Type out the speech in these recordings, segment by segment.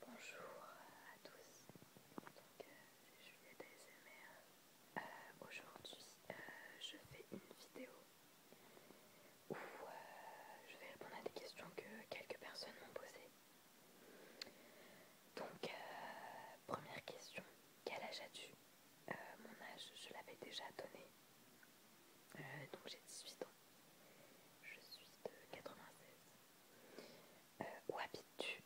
Bonjour à tous, donc c'est euh, Juliette euh, Aujourd'hui, euh, je fais une vidéo où je vais répondre à des questions que quelques personnes m'ont posées. Donc, première question, quel âge as-tu Mon âge, je l'avais déjà donné, donc j'ai 18 ans. Je suis de 96. Euh, où habites-tu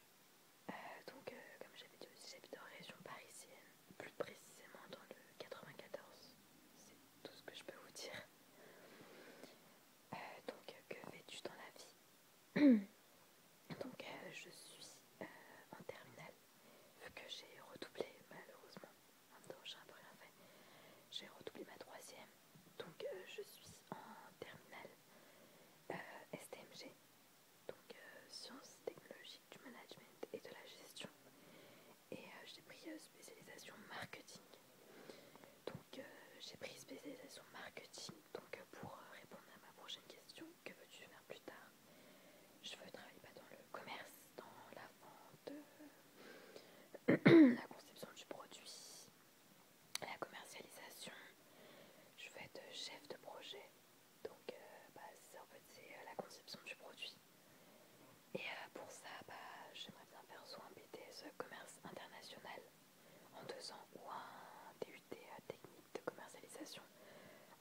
euh, Donc, euh, comme j'avais dit aussi, j'habite en région parisienne, plus précisément dans le 94. C'est tout ce que je peux vous dire. donc, que fais-tu dans la vie Donc, je suis en terminale, vu que j'ai redoublé, malheureusement, en même temps j'ai un peu rien fait, j'ai redoublé ma troisième, donc euh, je suis en terminale euh, STMG, donc euh, sciences technologiques du management et de la gestion. Et j'ai pris spécialisation marketing. Donc j'ai pris spécialisation marketing. Donc pour répondre à ma prochaine question, que veux-tu faire plus tard Je veux travailler bah, dans le commerce, dans la vente, la conception du produit, la commercialisation. Je veux être chef de projet, donc euh, bah, c'est en c'est euh, la conception du produit. Et euh, pour ça, bah, j'aimerais bien faire soit un BTS commerce international en deux ans ou un DUT technique de commercialisation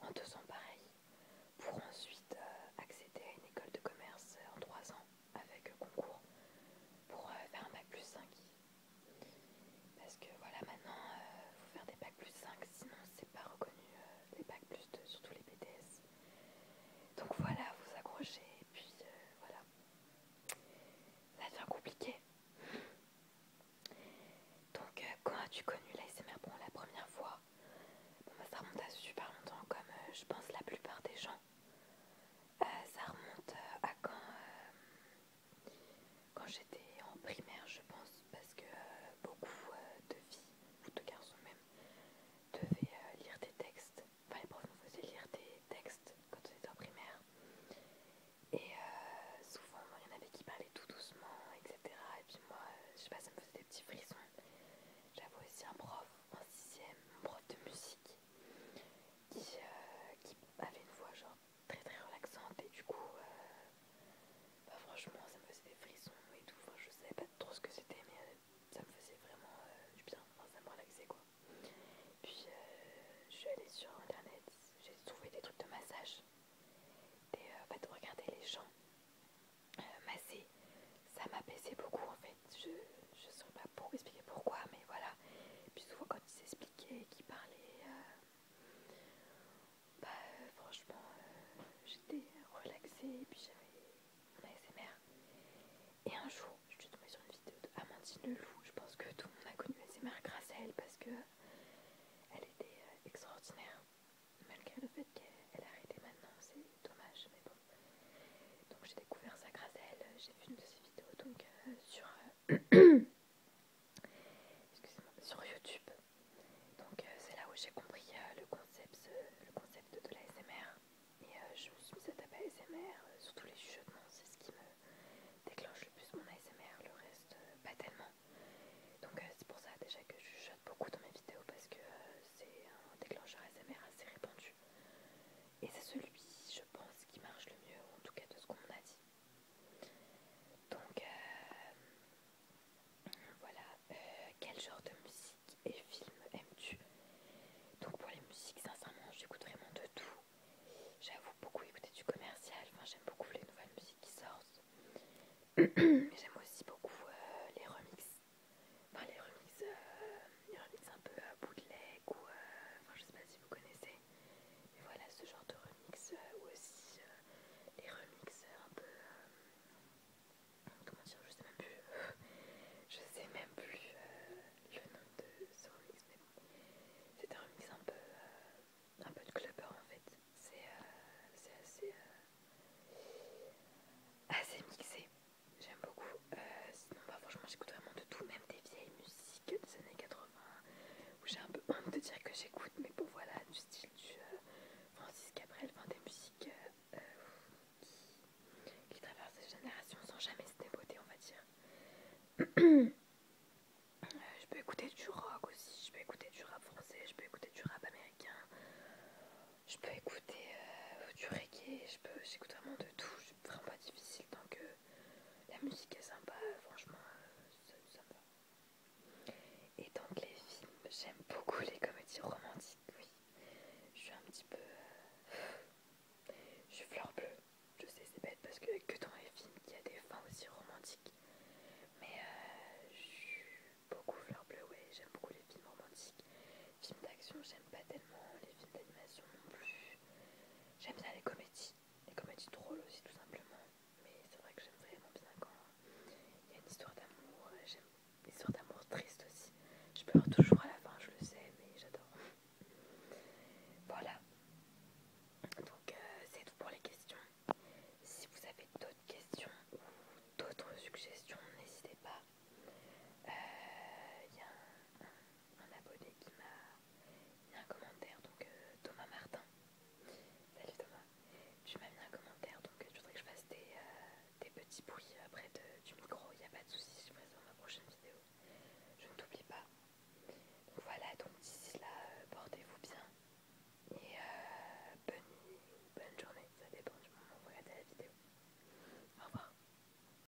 en deux ans pareil, pour ensuite accéder à une école de commerce en trois ans avec concours pour euh, faire un bac plus 5. Parce que voilà, maintenant, il euh, faut faire des Bac plus 5, sinon c'est pas reconnu euh, les Bac plus 2, surtout les BTS. Donc voilà, vous accrochez, et puis voilà. Ça devient compliqué. Donc, quand as-tu connu l'ASMR Bon, la première fois, bah, ça remonte à super longtemps, comme je pense la plupart des gens. Euh, ça remonte euh, à euh, quand, j'étais en primaire, je pense, parce que beaucoup de filles, ou de garçons même, devaient lire des textes. Enfin, les profs nous faisaient lire des textes quand on était en primaire. Et souvent, il y en avait qui parlaient tout doucement, etc. Et puis moi, je sais pas, ça me faisait des petits frissons. J'avais aussi un prof en sixième, un prof de musique, euh, qui, avait une voix genre très très relaxante et du coup euh, bah, franchement ça me faisait des frissons et tout, je savais pas trop ce que c'était mais euh, ça me faisait vraiment du bien, ça me relaxait quoi. Puis je suis allée sur internet, j'ai trouvé des trucs de massage, et en de regarder les gens masser, ça m'a baissé beaucoup en fait je ne sais pas pour expliquer pourquoi, mais voilà. Et puis souvent quand ils s'expliquait et qu'il parlait, euh, bah euh, franchement, euh, j'étais relaxée et puis j'avais mon ASMR. Et un jour, je suis tombée sur une vidéo de Amandine Leloup. Je pense que tout le monde a connu ASMR grâce à elle parce que elle était extraordinaire. Malgré le fait qu'elle arrêté maintenant, c'est dommage, mais bon. Donc j'ai découvert ça grâce à elle, j'ai vu une de ses vidéos donc euh, sur, euh, sur YouTube. Donc euh, c'est là où j'ai compris le concept, le concept de l'ASMR. Et je me suis mise à taper ASMR, surtout les chuchotements, c'est ce qui me déclenche le plus mon ASMR, le reste pas tellement. Donc c'est pour ça déjà que je chuchote beaucoup dans mes vidéos parce que c'est un déclencheur ASMR assez répandu. Et c'est celui, je pense, qui marche le mieux, en tout cas de ce qu'on a dit. Donc, euh, voilà. Euh, quel genre de musique et film aimes-tu Donc, pour les musiques, sincèrement, j'écoute vraiment de tout. J'avoue beaucoup écouter du commercial. Enfin, j'aime beaucoup les nouvelles musiques qui sortent. Mais j'aime aussi beaucoup euh, les remixes. Enfin, les remixes euh, remix un peu à bootleg ou euh, enfin je sais pas si vous connaissez voilà ce genre de remix euh, ou aussi euh, les remix un peu comment dire je sais même plus je sais même plus le nom de ce remix mais bon c'est un remix un peu un peu de clubber en fait c'est c'est assez assez mixé J'aime beaucoup. Euh, sinon, bah, franchement, j'écoute vraiment de tout, même des vieilles musiques des années 80 où j'ai un peu honte de dire que j'écoute, mais bon, voilà, du style du euh, Francis Cabrel, des musiques euh, qui, traversent les générations sans jamais se déboter, on va dire. je peux écouter du rock aussi, je peux écouter du rap français, je peux écouter du rap américain, je peux écouter du reggae, j'écoute vraiment de tout, c'est vraiment pas difficile tant que la musique est sympa, franchement, c'est euh, ça Et donc les films, j'aime beaucoup les comédies romantiques, oui. Je suis un petit peu... Euh, je suis fleur bleue, je sais c'est bête parce que que dans les films il y a des fins aussi romantiques. Mais euh, je suis beaucoup fleur bleue, oui, j'aime beaucoup les films romantiques. Films d'action, j'aime pas tellement. Les films d'animation non plus. J'aime bien les comédies. Les comédies drôles aussi, tout simplement. Mais c'est vrai que j'aime vraiment bien quand il y a une histoire d'amour. Euh, j'aime une histoire d'amour triste aussi. Je pleure toujours à la fin, je le sais, mais j'adore. Voilà. Donc, euh, c'est tout pour les questions. Si vous avez d'autres questions ou d'autres suggestions, n'hésitez pas. Euh, il y a un abonné qui m'a mis un commentaire, donc euh, Thomas Martin. Salut Thomas, tu m'as mis un commentaire, donc je euh, voudrais que je fasse des, euh, petits bruits après du micro, il n'y a pas de souci, je le dans ma prochaine vidéo. Je ne t'oublie pas. Donc voilà, donc d'ici là, portez-vous bien et bonne bonne journée, ça dépend du moment où vous regardez la vidéo. Au revoir.